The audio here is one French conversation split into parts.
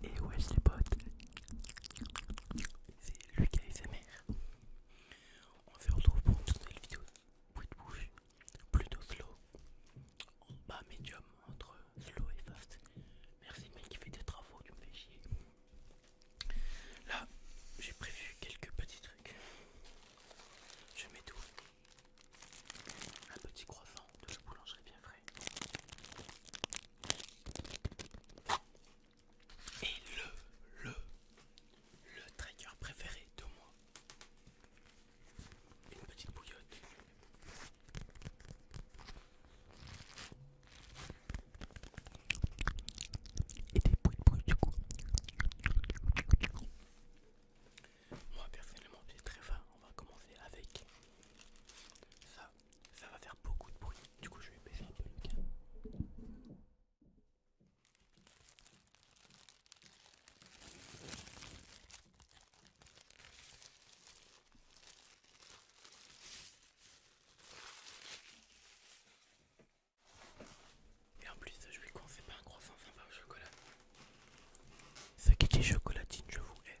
Et ouais les potes, c'est Lucas et sa On se retrouve pour une toute nouvelle vidéo de bouche, plutôt slow, en bas médium entre slow et fast. Merci mec qui fait des travaux, tu me fais chier. Là, j'ai prévu quelques petits trucs. Je mets tout. Un petit croissant de la boulangerie bien frais. Et le, le, le trigger préféré de moi. Une petite bouillotte. Et des bruits de du coup. Moi personnellement j'ai très faim, on va commencer avec ça. Ça va faire beaucoup de bruit, du coup je vais baisser un peu le gain. Et en plus, je lui conseille pas un croissant sympa au chocolat. Ça qui est chocolatine, je vous hais.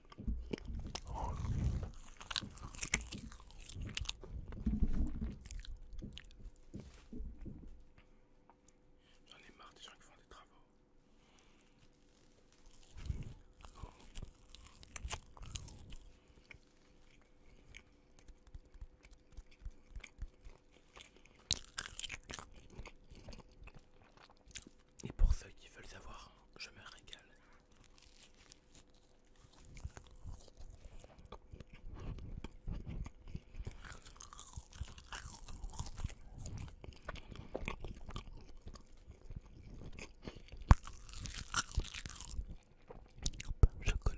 J'en ai marre des gens qui font des travaux. Et pour ceux qui veulent savoir, je me régale. Chocolat.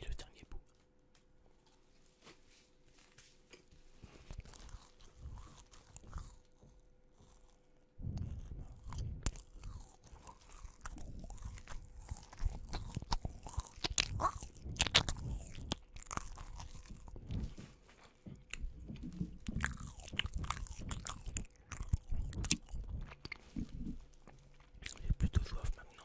Et le dernier bout. J'ai plutôt soif maintenant.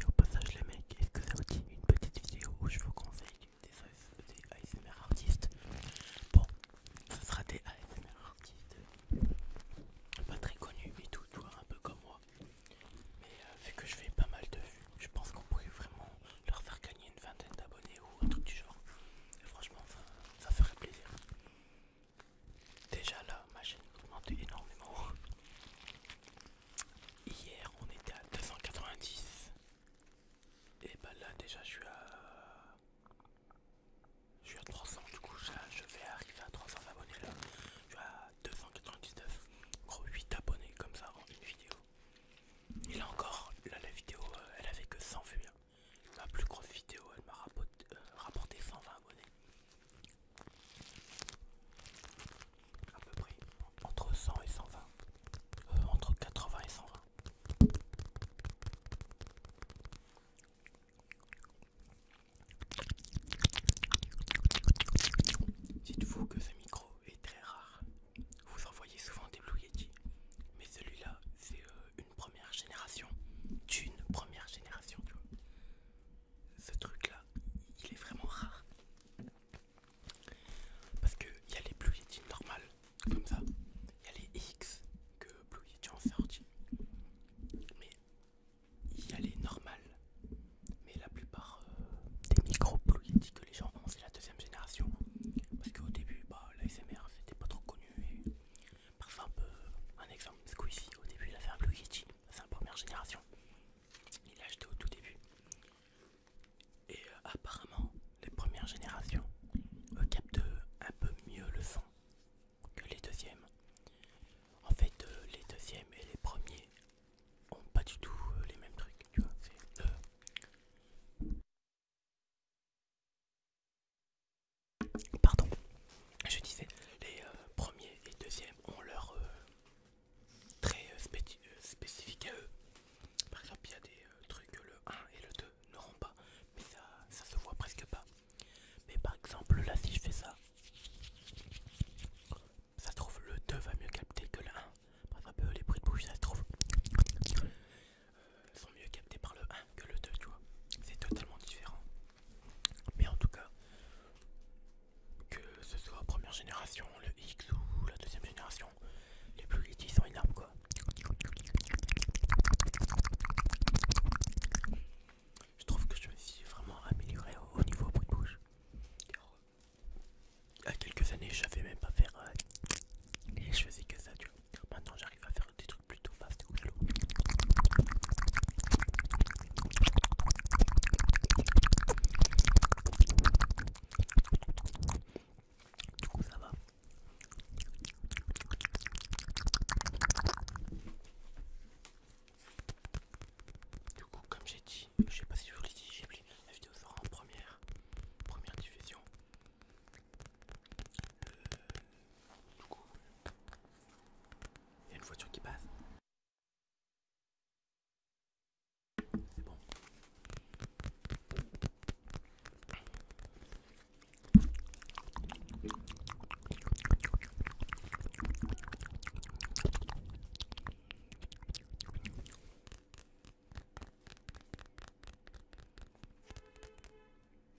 Et au passage les mecs, est-ce que ça aussi, une petite vidéo où je vous conseille des, ASMR artistes Bon, ce sera des ASMR artistes pas très connus mais tout, tu un peu comme moi. Mais euh, vu que je fais pas mal de vues, je pense qu'on pourrait vraiment leur faire gagner une vingtaine d'abonnés ou un truc du genre. franchement, ça, ça ferait plaisir. Déjà là, ma chaîne augmente énormément. Hier on était à 290 et bah là déjà je suis à je suis à 300 du coup je vais arriver à 300 abonnés là je suis à 299 gros 8 abonnés comme ça avant une vidéo et là encore là la vidéo euh, elle avait que 100 vues ma hein. plus grosse vidéo elle m'a euh, rapporté 120 abonnés à peu près entre 100 et 120, euh, entre 80 et 120. Dites-vous que ce micro est très rare. Vous en voyez souvent des Blue mais celui-là, c'est euh, une première génération, d'une première génération, tu vois ce truc là il est vraiment rare parce que il y a les Blue Yeti normales comme ça il y a les X que Blue Yeti en sorti mais il y a les normales mais la plupart euh, des micro Blue Yeti que les gens ont c'est la deuxième génération parce qu'au début bah l'ASMR c'était pas trop connu et un exemple un exemple Squeezie au début il a fait un Blue Yeti c'est la première génération. Il l'a acheté au tout début. Et euh, apparemment, les premières générations captent euh, un peu mieux le son que les deuxièmes. En fait, euh, les deuxièmes et les premiers ont pas du tout les mêmes trucs, Pardon, je disais, les euh, premiers et deuxièmes ont leur euh, très euh, trait spécifique à eux. Par exemple, il y a des trucs que le 1 et le 2 n'auront pas, mais ça, se voit presque pas. Mais par exemple, là, si je fais ça, ça se trouve, le 2 va mieux capter que le 1. Par exemple, les bruits de bouche, ça se trouve, sont mieux captés par le 1 que le 2, tu vois. C'est totalement différent. Mais en tout cas, que ce soit première génération, le X ou la deuxième génération, les plus sont sont énormes quoi. Je trouve que je me suis vraiment amélioré au niveau bruit de bouche. y à quelques années, je savais même pas faire. et euh, je faisais que ça, tu Maintenant, j'arrive à faire des trucs plutôt fast ou Oujalou. Du coup, ça va. Du coup, comme j'ai dit, je sais pas si je vous l'ai dit, j'ai oublié, la vidéo sera en première, première diffusion du coup, il y a une voiture qui passe. C'est bon.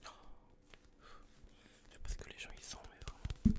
Oh. Je sais pas ce que les gens y sont, mais vraiment.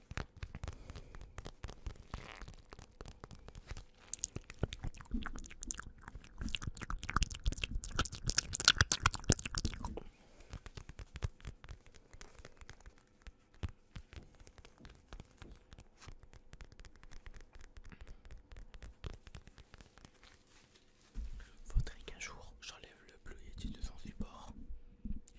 Voudrais qu'un jour j'enlève le bleu et du devant du bord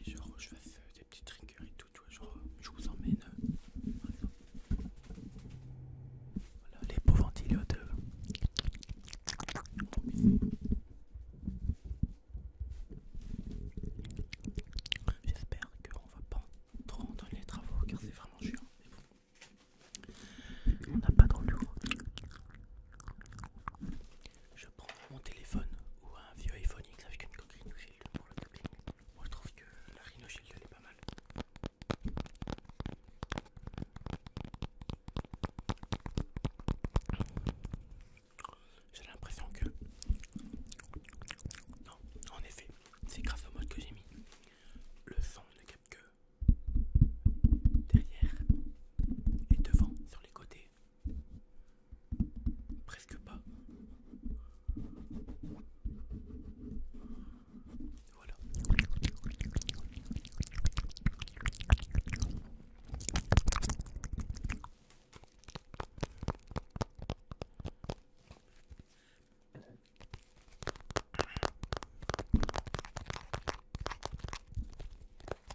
et je je fasse des petits et tout, tu vois, genre je vous emmène euh, Voilà, les beaux ventilateurs. Euh. J'espère qu'on va pas trop dans les travaux car c'est vraiment chiant. On n'a pas trop le je prends mon téléphone ou un vieux iPhone X avec une coquille shield pour le taper. Moi je trouve que la Rhino elle est pas mal. J'ai l'impression que... Non, en effet, c'est grâce au mode que j'ai mis. Le son ne capte que derrière et devant sur les côtés. Presque pas. Voilà.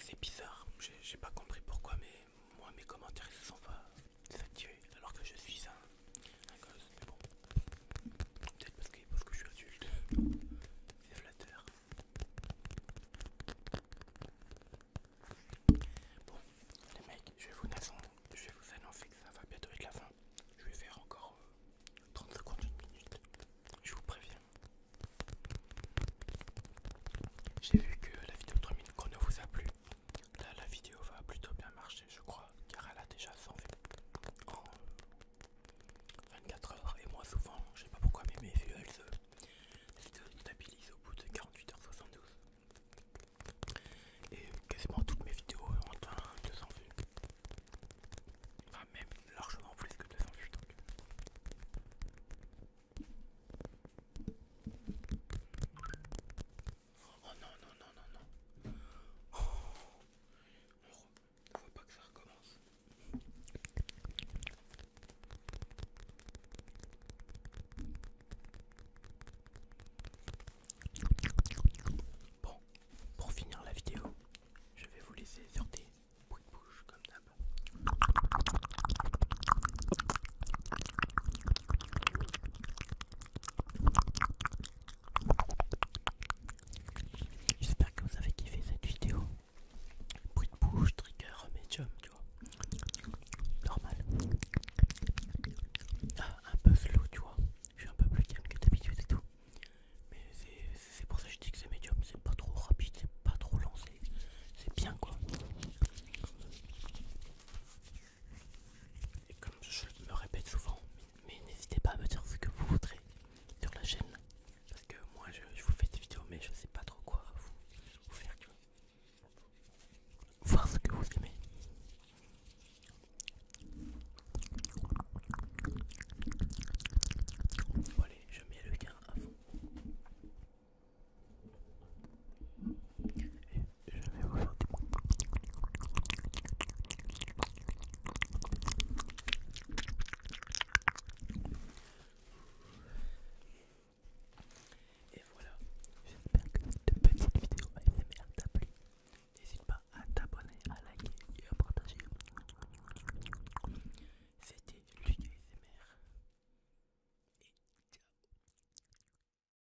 c'est bizarre, j'ai pas compris pourquoi mais moi mes commentaires se sont pas saturés alors que je suis un un gosse, mais bon. Peut-être parce, que, parce que je suis adulte. C'est flatteur. Bon, les mecs, je vais vous annoncer, je vous que ça va bientôt être la fin. Je vais faire encore 30 secondes, une minute. Je vous préviens. J'ai vu que la vidéo 3 minutes ne vous a plu. Là, la vidéo va plutôt bien marcher, je crois car elle a déjà 100 vues en 24 heures. Et moi, souvent, je sais pas pourquoi, mais mes vues elles se stabilisent au bout de 48h72. Et quasiment toutes mes vidéos ont atteint 200 vues. Enfin, même largement plus que 200 vues. Oh non, non, non, non, non. Oh. On ne pas que ça recommence. Bon, pour finir la vidéo, je vais vous laisser sur des bruits de bouche comme d'hab. J'espère que vous avez kiffé cette vidéo. Bruit de bouche, trigger, médium, tu vois. Normal. Ah, un peu slow, tu vois. Je suis un peu plus calme que d'habitude et tout. Mais c'est pour ça que je dis que c'est médium. C'est pas trop rapide, c'est pas trop lancé. C'est bien quoi. Et comme je me répète souvent, mais n'hésitez pas à me dire ce que vous voudrez sur la chaîne. Parce que moi je, vous fais des vidéos mais je sais pas trop quoi vous, faire Voir ce que vous aimez. Bon, allez, je mets le gain à fond je vais vous faire des Et voilà, j'espère que cette petite vidéo ASMR t'a plu. N'hésite pas à t'abonner, à liker et à partager. C'était Luc ASMR. Et ciao